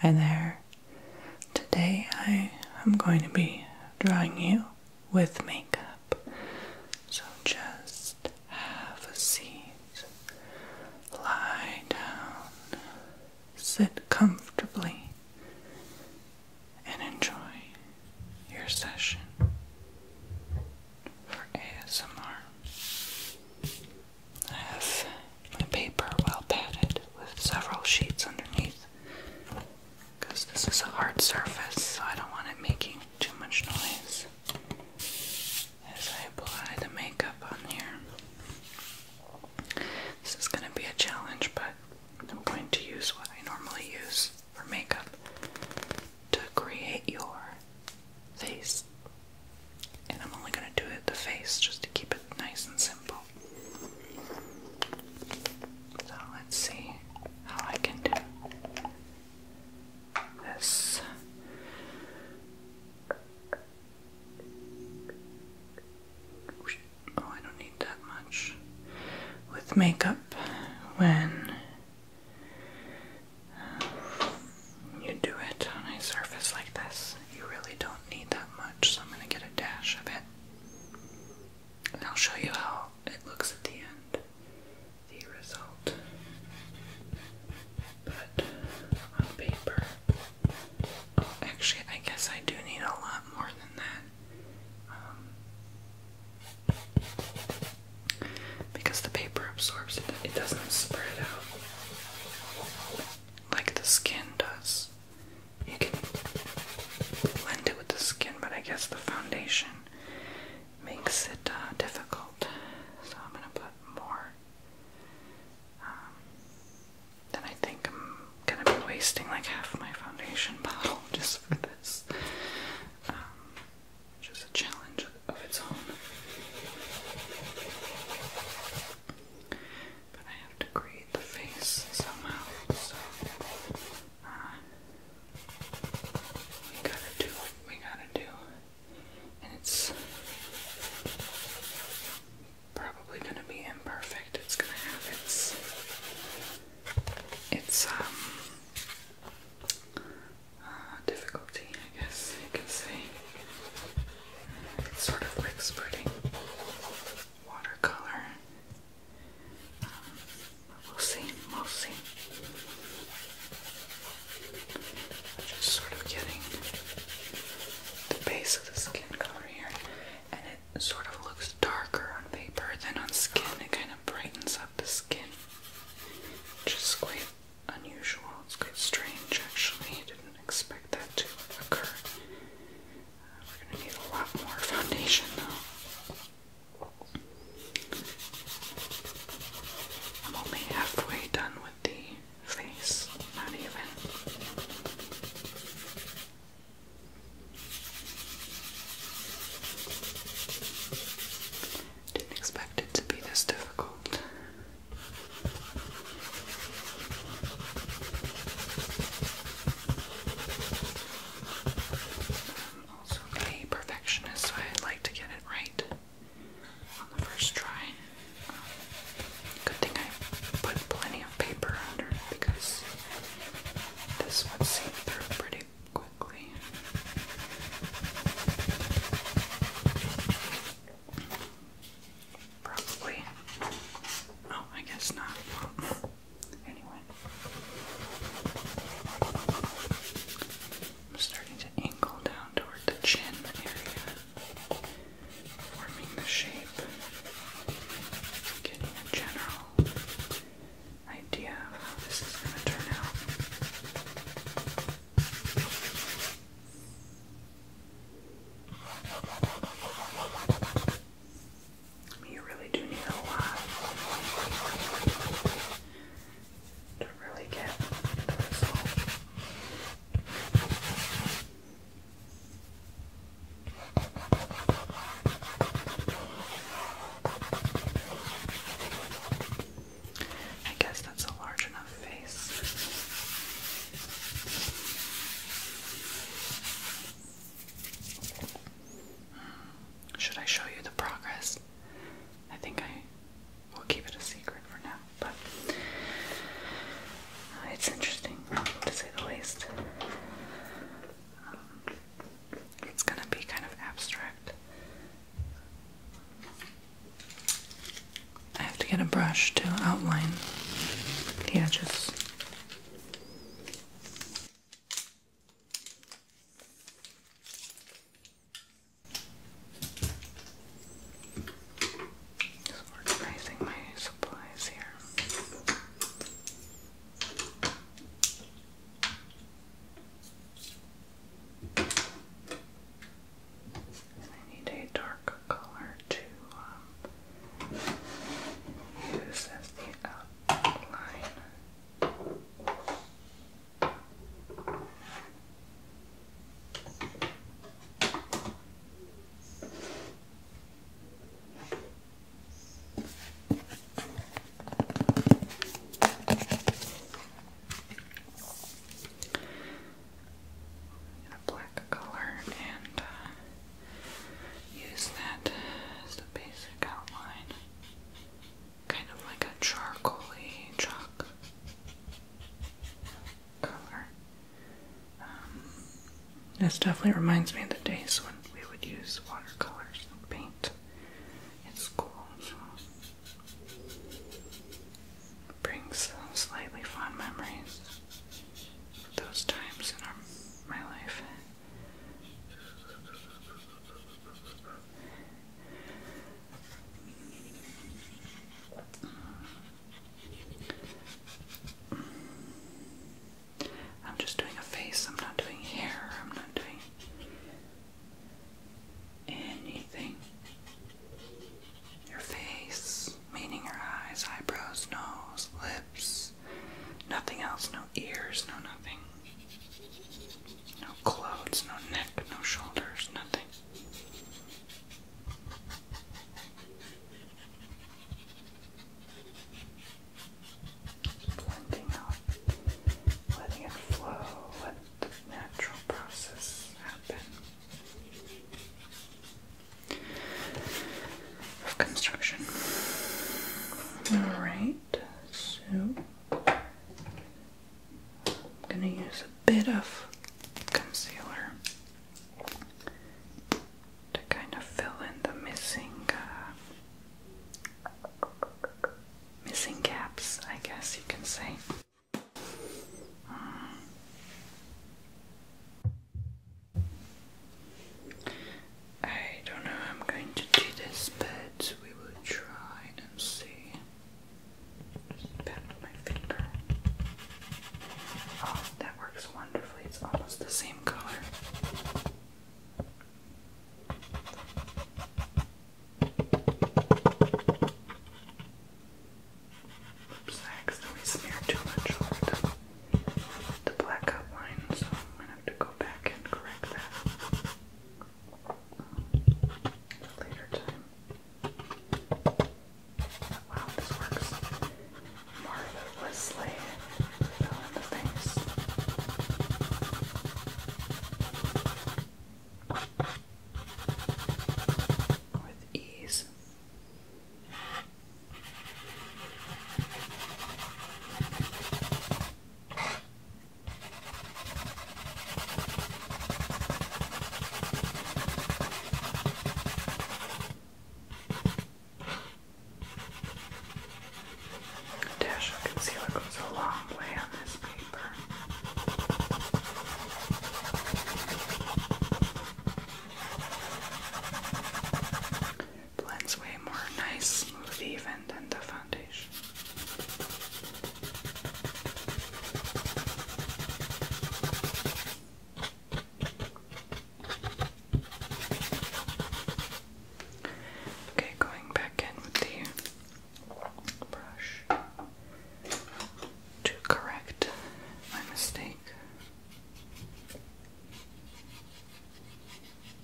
Hi there. Today I am going to be drawing you with makeup. So just have a seat, lie down, sit comfortably, and enjoy your session for ASMR. I have my paper well padded with several sheets underneath because this is a hard surface, so I don't want it making too much noise as I apply the makeup on here. This is going to be a challenge, but I'm going to use what I normally use for makeup to create your face and I'm only going to do it the face just to keep it nice and simple. So let's see how I can do this. Oh, I don't need that much. With makeup, when um, you do it on a surface like this, you really don't need that much, so I'm going to get a dash of it. And I'll show you how it looks at the end, the result. But on paper, oh, actually, I guess I do need a lot more than that. Um, because the paper absorbs it, it doesn't spread out like the skin does you can blend it with the skin, but I guess the foundation makes it uh, difficult. So I'm gonna put more. Um, then I think I'm gonna be wasting like half my foundation bottle just for this, um, which is a challenge of its own. But I have to create the face somehow, so uh, we gotta do we gotta do. And it's probably gonna be imperfect. It's gonna have its its um uh, difficulty, I guess you can say. It's sort of like spreading watercolor. Um, we'll see, we'll see. Just sort of getting the base of the skin color here, and it sort of looks darker on paper than on skin. It kind of brightens up the skin, which is quite unusual. It's quite strange, actually. I did didn't expect that to occur. we're going to need a lot more foundation though. I'm only halfway done with the face, not even. Didn't expect it to be this difficult. I'm also a perfectionist, so I like to get it right on the first try. Um, good thing I put plenty of paper under because this would seep through pretty quickly. Probably. Oh, I guess not. anyway. I'm starting to angle down toward the chin area. Forming the shape. Getting a general idea of how this is going to turn out. You really do need a lot to really get the result. I guess that's a large enough face. Should I show you the progress? I think I will keep it a secret for now, but it's interesting to say the least. Um, it's gonna be kind of abstract. I have to get a brush to outline the edges. Just organizing my supplies here. I need a dark color to use um, as the outline black color and uh, use that as the basic outline. Kind of like a charcoaly chalk color. Um, this definitely reminds me of the days when we would use watercolors and paint It's cool. brings some slightly fond memories those times in my life. I'm just doing a face, I'm not doing hair, I'm not doing anything. Your face, meaning your eyes, eyebrows, nose, lips. Nothing else, no ears, no nothing. No clothes, no neck, no shoulders, nothing. letting it flow, let the natural process happen of construction. Alright, so I'm gonna use a bit of concealer to kind of fill in the missing uh, missing gaps, I guess you can say. I don't know I'm going to do this, but we will try and see. Just pat my finger. Oh, that works wonderfully. It's almost the same color. Oops, I accidentally smeared too much the black outline, so I'm gonna have to go back and correct that later time. Wow, this works marvelously. Fell in the With ease. Dash of concealer goes a long way on this paper blends way more nice, smooth, even than the foundation. Okay, going back in with the brush to correct my mistake.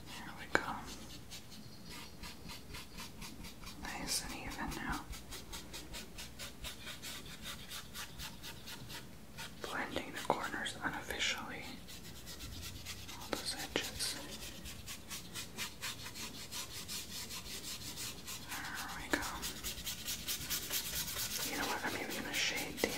There we go. Nice and even now. Blending the corners unofficially. All those edges. There we go. You know what? I'm even gonna shade decorate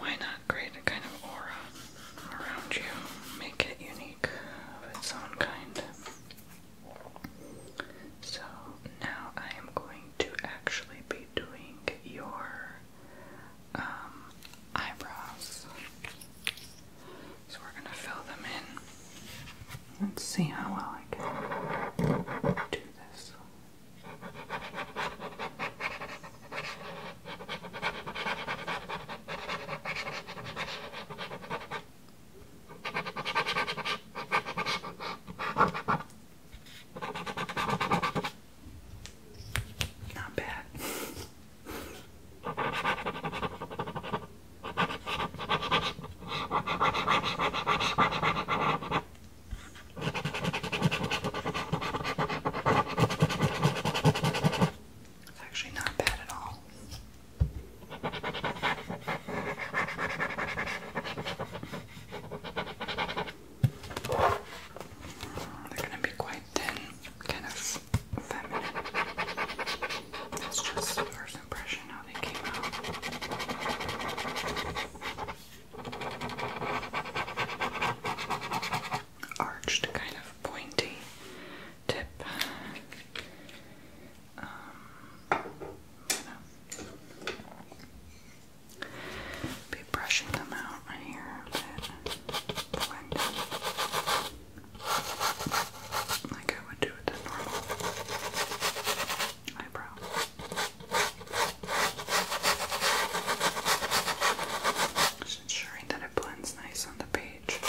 Why not create a kind of aura around you? Make it unique of its own kind. So now I am going to actually be doing your um, eyebrows. So we're going to fill them in. Let's see how well I can do this. Not bad. It's actually not bad at all. They're going to be quite thin kind of feminine. That's just the first impression how they came out. Arched, kind of pointy tip. Um, be brushing them out right here a bit like I would do with a normal eyebrow. Just ensuring that it blends nice on the page.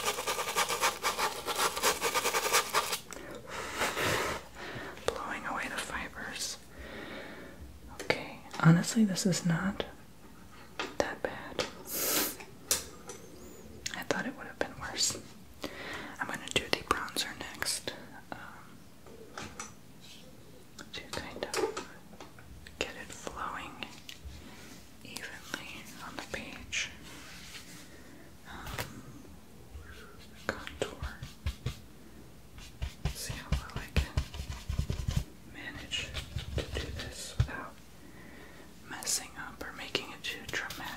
Blowing away the fibers. Okay, honestly, this is not that bad. I thought it would have been worse. I'm gonna do the bronzer next. Um, to kind of get it flowing evenly on the page. Um, contour. See how I can manage to do this without messing up or making it too dramatic.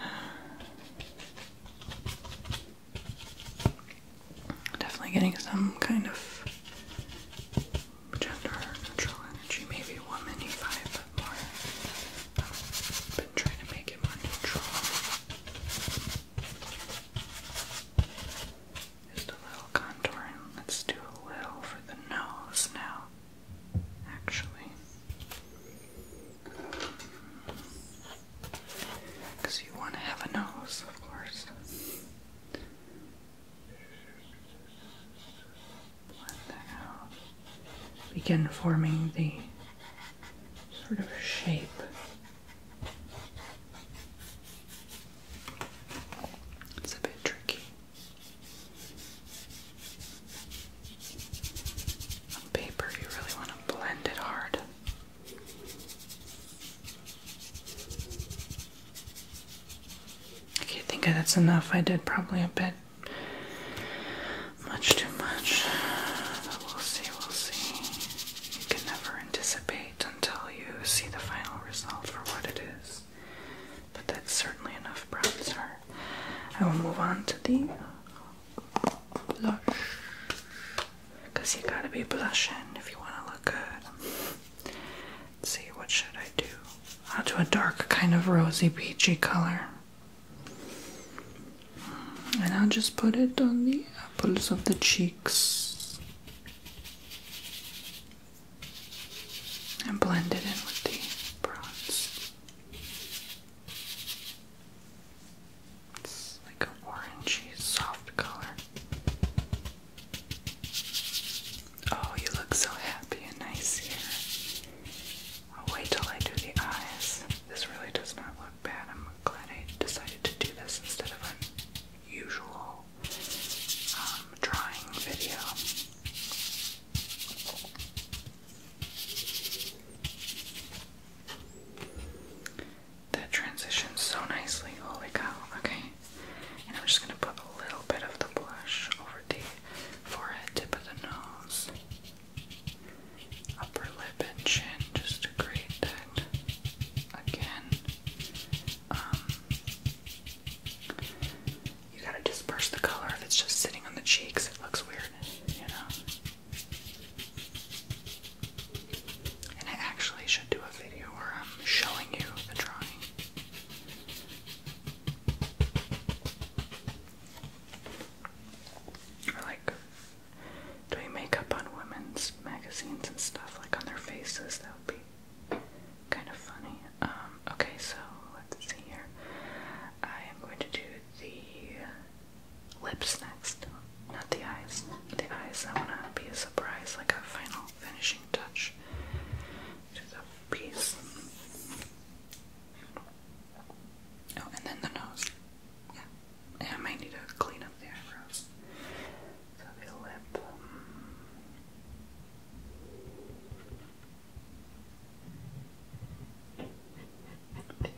Definitely getting some kind of gender, natural energy, maybe one five, but more. been trying to make it more neutral. Just a little contouring. Let's do a little for the nose now, actually. Because mm. you want to have a nose, of course. Begin forming the sort of shape. It's a bit tricky. On paper, you really want to blend it hard. I can't think that's enough. I did probably a bit much too much. we'll see, we'll see. You can never anticipate until you see the final result for what it is. But that's certainly enough bronzer. I will move on to the blush. Because you gotta be blushing if you want to look good. Let's see, what should I do? I'll do a dark kind of rosy peachy color. And I'll just put it on the apples of the cheeks and blend it in with the bronze. It's like a orangey soft color. Oh, you look so happy and nice here. I'll wait till I do the eyes. This really does not look bad. I'm glad I decided to do this instead of an usual um, drawing video. That transitions so nicely. Holy cow. Okay. And I'm just going to put a little bit of the blush over the forehead, tip of the nose, upper lip, and chin just to create that again. Um, you gotta disperse the color if it's just sitting on the cheeks, it looks weird, you know. And I actually should do a video where I'm showing you the drawing like doing makeup on women's magazines and stuff, like on their faces, that would be kind of funny. Um, okay, so let's see here. I am going to do the lips next, not the eyes. The eyes, I want to be a surprise, like a final finishing touch to the piece. Oh, and then the nose. Yeah. I might need to clean up the eyebrows. So the lip. Um, the lip.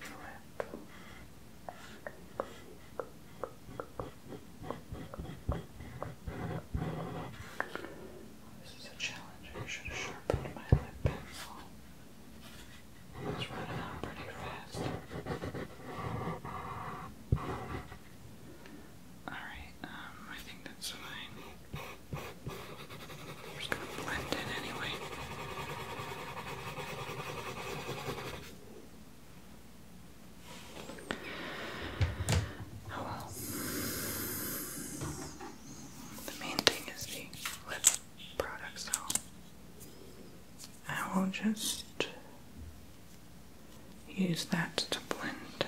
This is a challenge. I should have sharpened my lip pencil. It's running out pretty fast. Alright, um, I think that's fine. just gonna blend it anyway. Oh well. The main thing is the lip product, so I will just use that to blend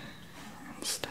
instead.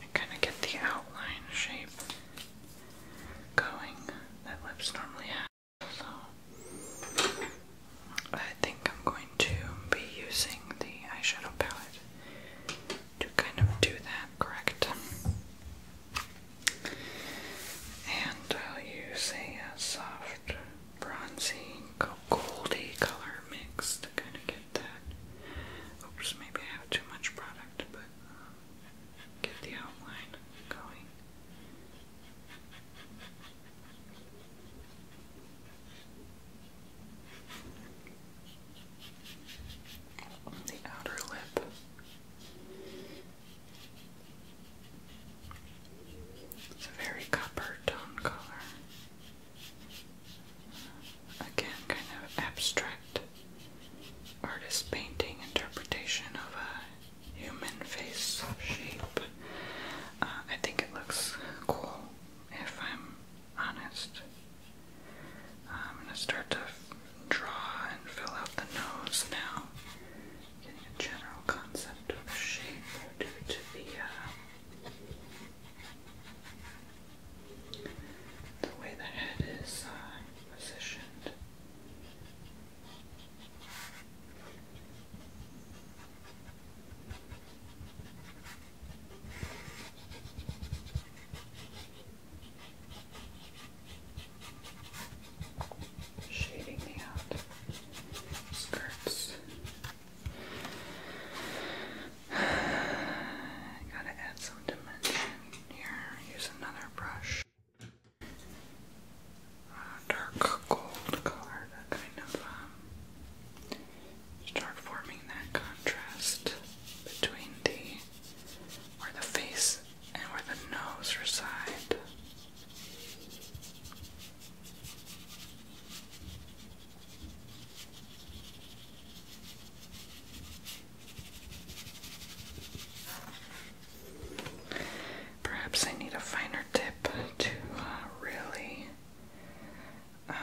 and kind of get the outline shape going that lips normally have. So I think I'm going to be using the eyeshadow palette to kind of do that correct. And I'll use a, a uh, soft bronzy goldy color mix to kind of get get that. Oops, maybe I have too much product, but um, get the outline going. The outer lip. It's a very copper tone color again kind of abstract artist painting interpretation of a human face shape. Uh, I think it looks cool if I'm honest. Uh, I'm going to start to draw and fill out the nose now. Getting a general concept of shape due to be the way the head is uh, positioned. Shading the out skirts Gotta add some dimension here. Use another brush. dark gold color um, start forming that contrast between the where the face and where the nose reside. Perhaps I need a finer tip to uh, really um,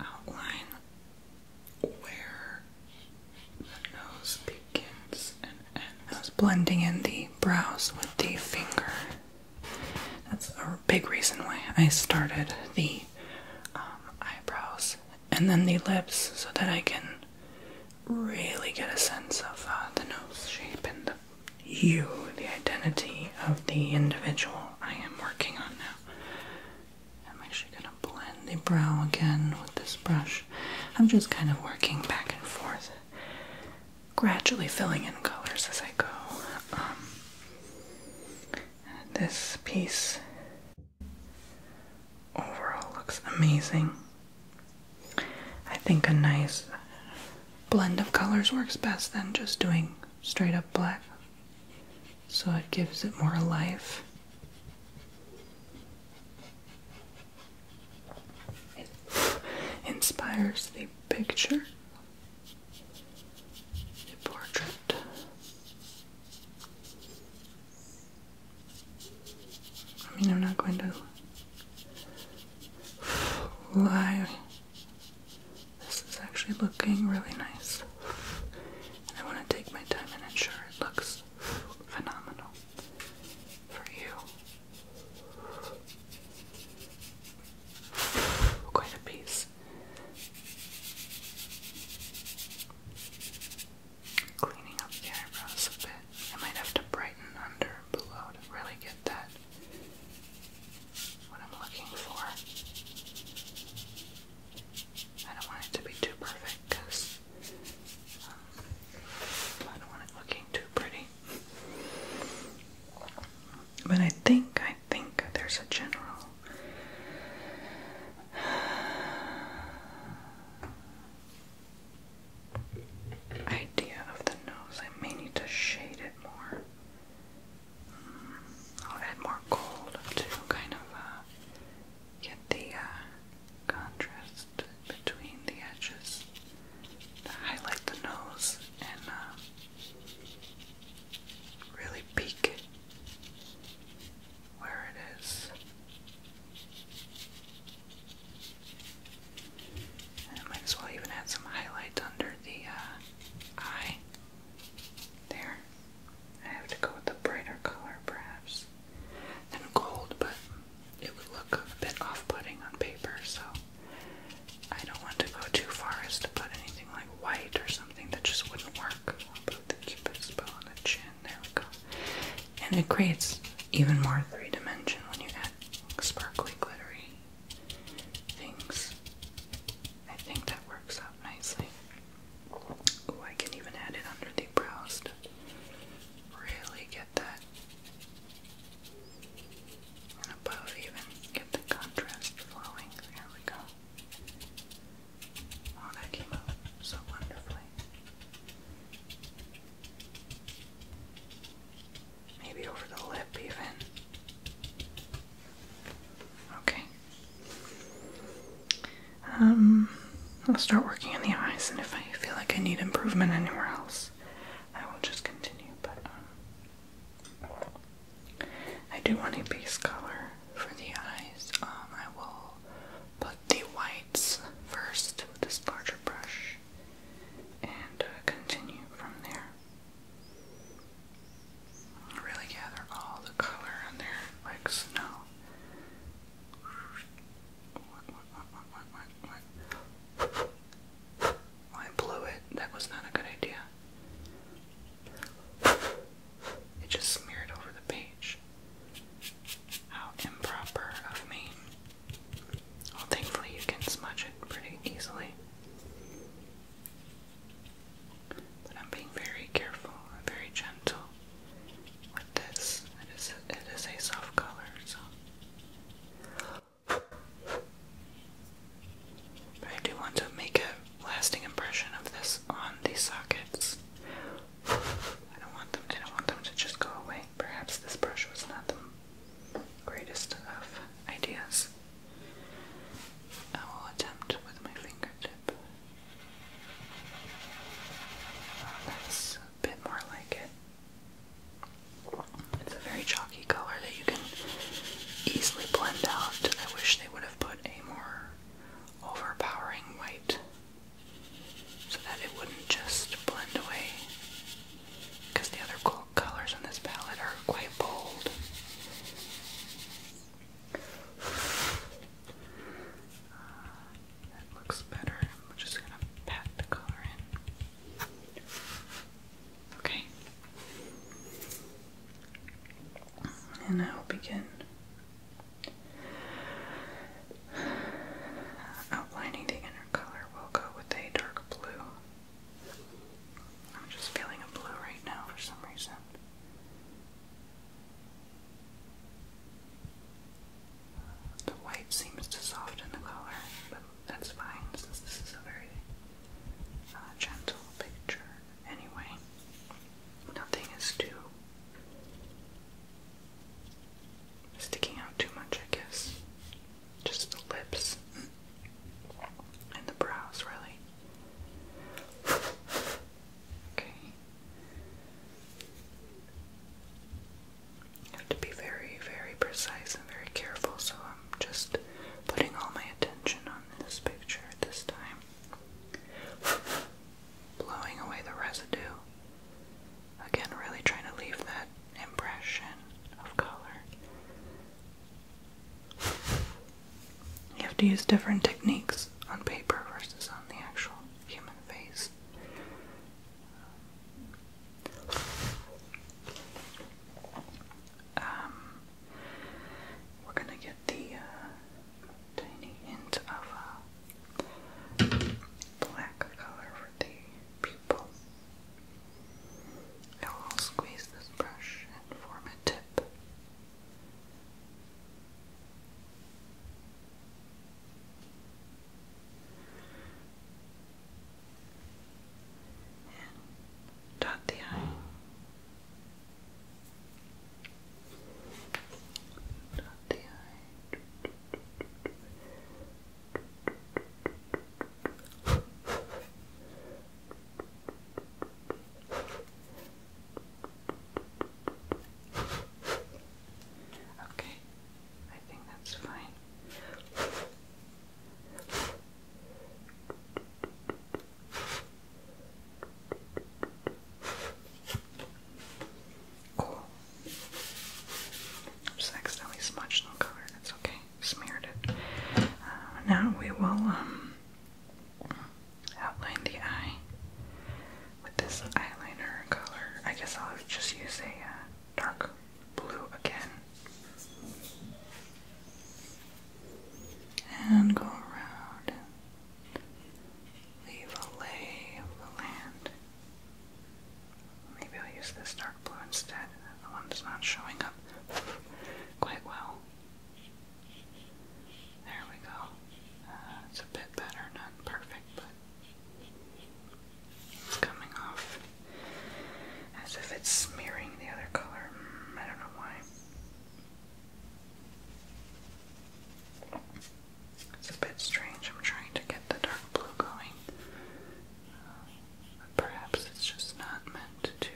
outline where the nose begins and ends. I was blending in the brows with the finger. That's a big reason why I started the um, eyebrows and then the lips so that I can really get a sense of uh, the nose shape and the you, the identity of the individual I am working on now. I'm actually going to blend the brow again with this brush. I'm just kind of working back and forth gradually filling in colors as I go. Um, this piece overall looks amazing. I think a nice blend of colors works best than just doing straight up black, so it gives it more life inspires the picture, the portrait. I mean, I'm not going to lie. This is actually looking really nice. And I want to take my time and ensure it looks phenomenal for you Quite a piece. Cleaning up the eyebrows a bit. I might have to brighten under and below to really get that what I'm looking for. I don't want it to be too perfect because um, I don't want it looking too pretty. But I think, I think there's a general. Idea of the nose. I may need to shade it more. Mm, I'll add more gold to kind of uh, get the uh, contrast between the edges highlight the nose and uh, really peak where it is. I might as well even add some highlight under the uh, eye. There. I have to go with a brighter color perhaps than gold, but it would look a bit off putting on paper, so I don't want to go too far as to put anything like white or something that just wouldn't work. I'll put the cupid's on the chin. There And it creates even more three dimension when you add sparkly, glittery things. I think that works out nicely. Ooh, I can even add it under the brows to really get that above even get the contrast flowing. There we go. Oh, that came out so wonderfully. Maybe over the lip, even. Okay. Um, I'll start working on the eyes, and if I feel like I need improvement anywhere else, I will just continue. But um, I do want a base color for the eyes. Um, I will put the whites first with this larger brush and uh, continue from there. Really gather all the color on there like snow. I blew it. That was not a good idea. It just smeared over the page. How improper of me. Well, thankfully, you can smudge it pretty easily. But I'm being very careful and very gentle with this. It is it is a soft color, so. I do want to make a lasting impression of this on these sockets. I don't want them. I don't want them to just go away. Perhaps this brush was not the greatest of ideas. I will attempt with my fingertip. that's a bit more like it. It's a very chalky color that you can easily blend out. I wish they would have put a more overpowering white so that it wouldn't just blend away. Because the other cool colors on this palette are quite bold. that looks better. I'm just gonna pat the color in. Okay. And I will begin outlining the inner color. We'll go with a dark blue. I'm just feeling a blue right now for some reason. The white seems to soften the color, but that's fine since this is a very uh, gentle picture. Anyway, nothing is too sticking out too much, I guess. Just the lips and the brows, really. okay. You have to be very, very precise and very careful, so uh, um, just putting all my attention on this picture at this time. Blowing away the residue. Again, really trying to leave that impression of color. You have to use different techniques on paper versus on the actual human face. Um, we're gonna get the uh, tiny end of a uh, black color for the pupil. I will squeeze this brush and form a tip dot the I. Dot the I. Okay, I think that's fine. Cool. Just accidentally smudged on color. That's okay. Smeared it. Uh, now we will um, outline the eye with this eyeliner color. I guess I'll just use a uh, dark blue again and go around leave a lay of the land. Maybe I'll use this dark blue instead. The one not showing up quite well. There we go. Uh, it's a bit better, not perfect, but it's coming off as if it's smearing the other color. Mm, I don't know why. It's a bit strange. I'm trying to get the dark blue going. Uh, perhaps it's just not meant to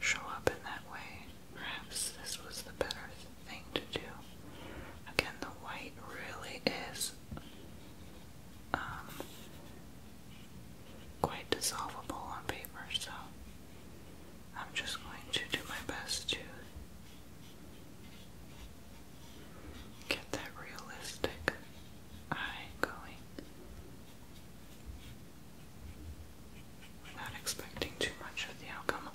show up in that way. Perhaps this was the better thing to do. Again, the white really is um, quite dissolvable on paper, so I'm just going to do my best to get that realistic eye going without expecting too much of the outcome.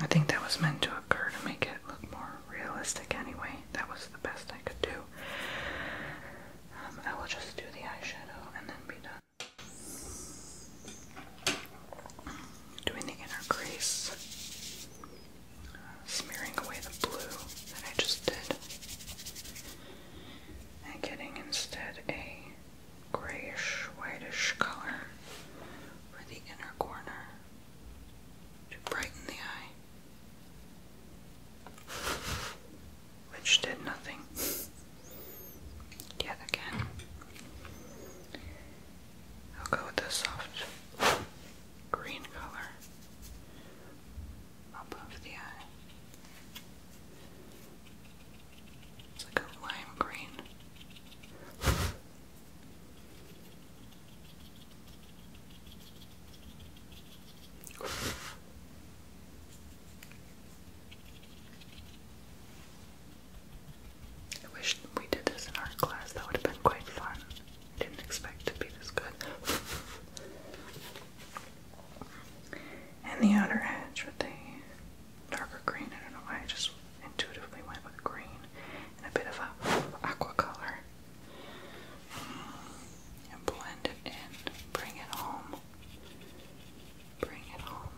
I think that was meant to occur to make it look more realistic anyway. That was the best I could do. Um, I will just do the eyeshadow and then be done. Doing the inner crease, uh, smearing away the blue that I just did, and getting instead a grayish, whitish color for the inner corner to brighten the eye which did nothing yet again. I'll go with the soft green color above the eye. It's like a lime green. I wish we did this in art class, that would have been quite fun. I didn't expect to be this good. and the outer edge with the darker green, I don't know why, I just intuitively went with green and a bit of a aqua color and blend it in. Bring it home. Bring it home.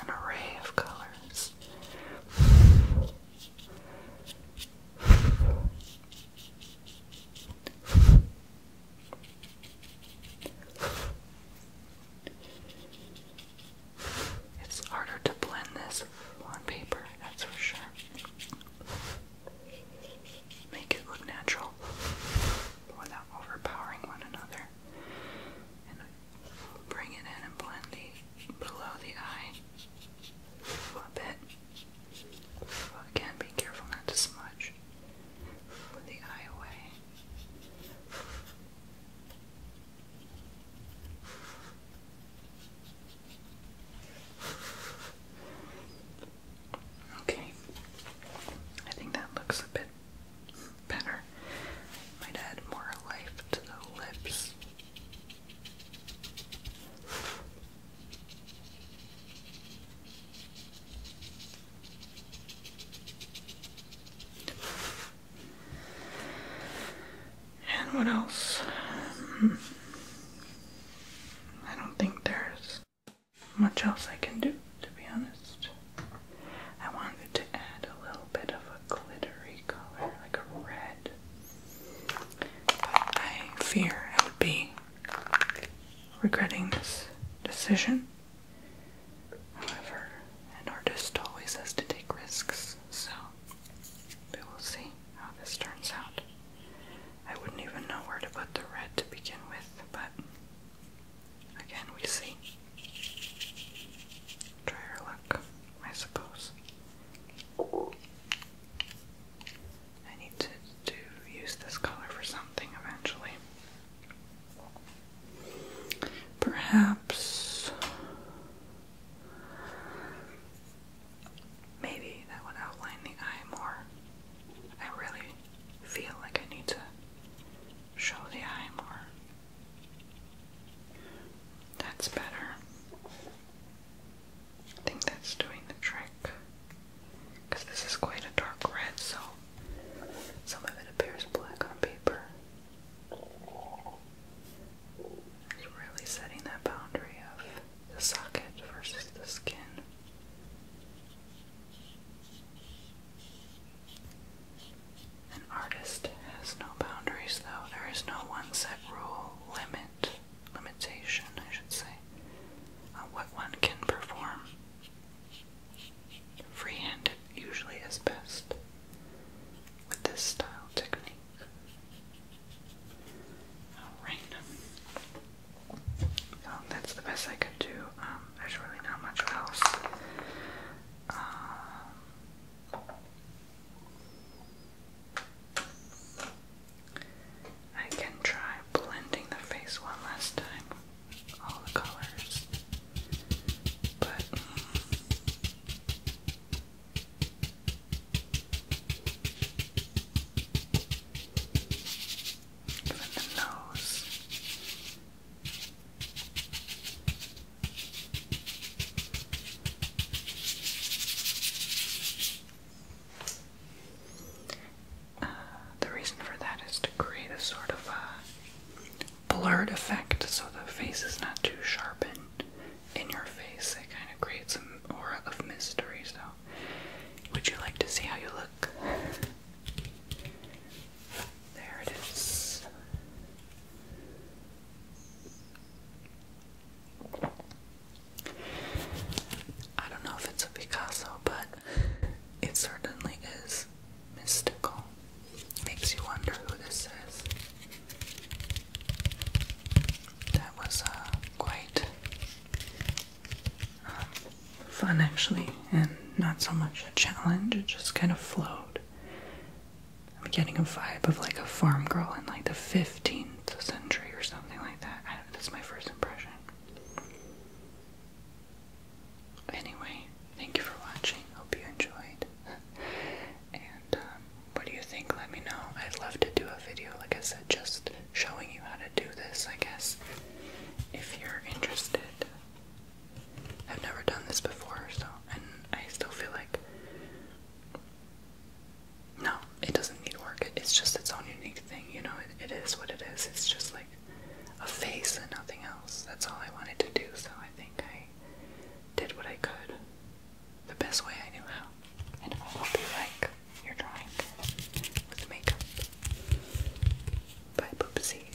An array of colors. It's harder to blend this on paper, that's for sure. Make it look natural without overpowering one another. And bring it in and blend the below the eye a bit. Again, be careful not to smudge with the eye away. Okay, I think that looks a bit better. Might add more life to the lips. And what else? Hmm. I don't think there's much else I can do, to be honest. I wanted to add a little bit of a glittery color, like a red. But I fear I would be regretting this decision. However, an artist always has to take risks, so we will see how this turns out. I wouldn't even know where to put the red to begin with, but again, we see. Try our I suppose. I need to use this color for something eventually. Perhaps Maybe that would outline the eye more. I really feel like I need to show the eye more. That's better. I think that's doing the trick. Because this is quite a dark red, so some of it appears black on paper. It's really setting that boundary of the socket versus the skin. An artist has no boundaries, though. There is no one set rule, limit, limitation, I should say, on what one can perform. Freehand usually is best with this style technique. Alright. So oh, that's the best I could do. Um, there's really not much else. Um, I can try blending the face one last time all the colors. But. From the nose. the reason for that is to create a sort of a blurred effect so the face is not too sharpened in your face. It kind of creates some aura of mystery. So, would you like to see how you look? There it is. I don't know if it's a Picasso, but it certainly is mystical. Makes you wonder who this is. That was uh, quite uh, fun, actually, and not so much a challenge. It just kind of flowed. I'm getting a vibe of like a farm girl in like the 15th century or something like that. that's my first impression. Anyway, thank you for watching. Hope you enjoyed. Um, what do you think? Let me know. I'd love to do a video, like I said, just showing you how to do this, I guess, if you're interested. I've never done this before, so, and I still feel like, no, it doesn't need work. it's just its own unique thing, you know, it, it is what it is. It's just like a face and nothing else. That's all I wanted to do, so I think I did what I could the best way I knew how. And I hope you like your drawing with makeup by Poopsies.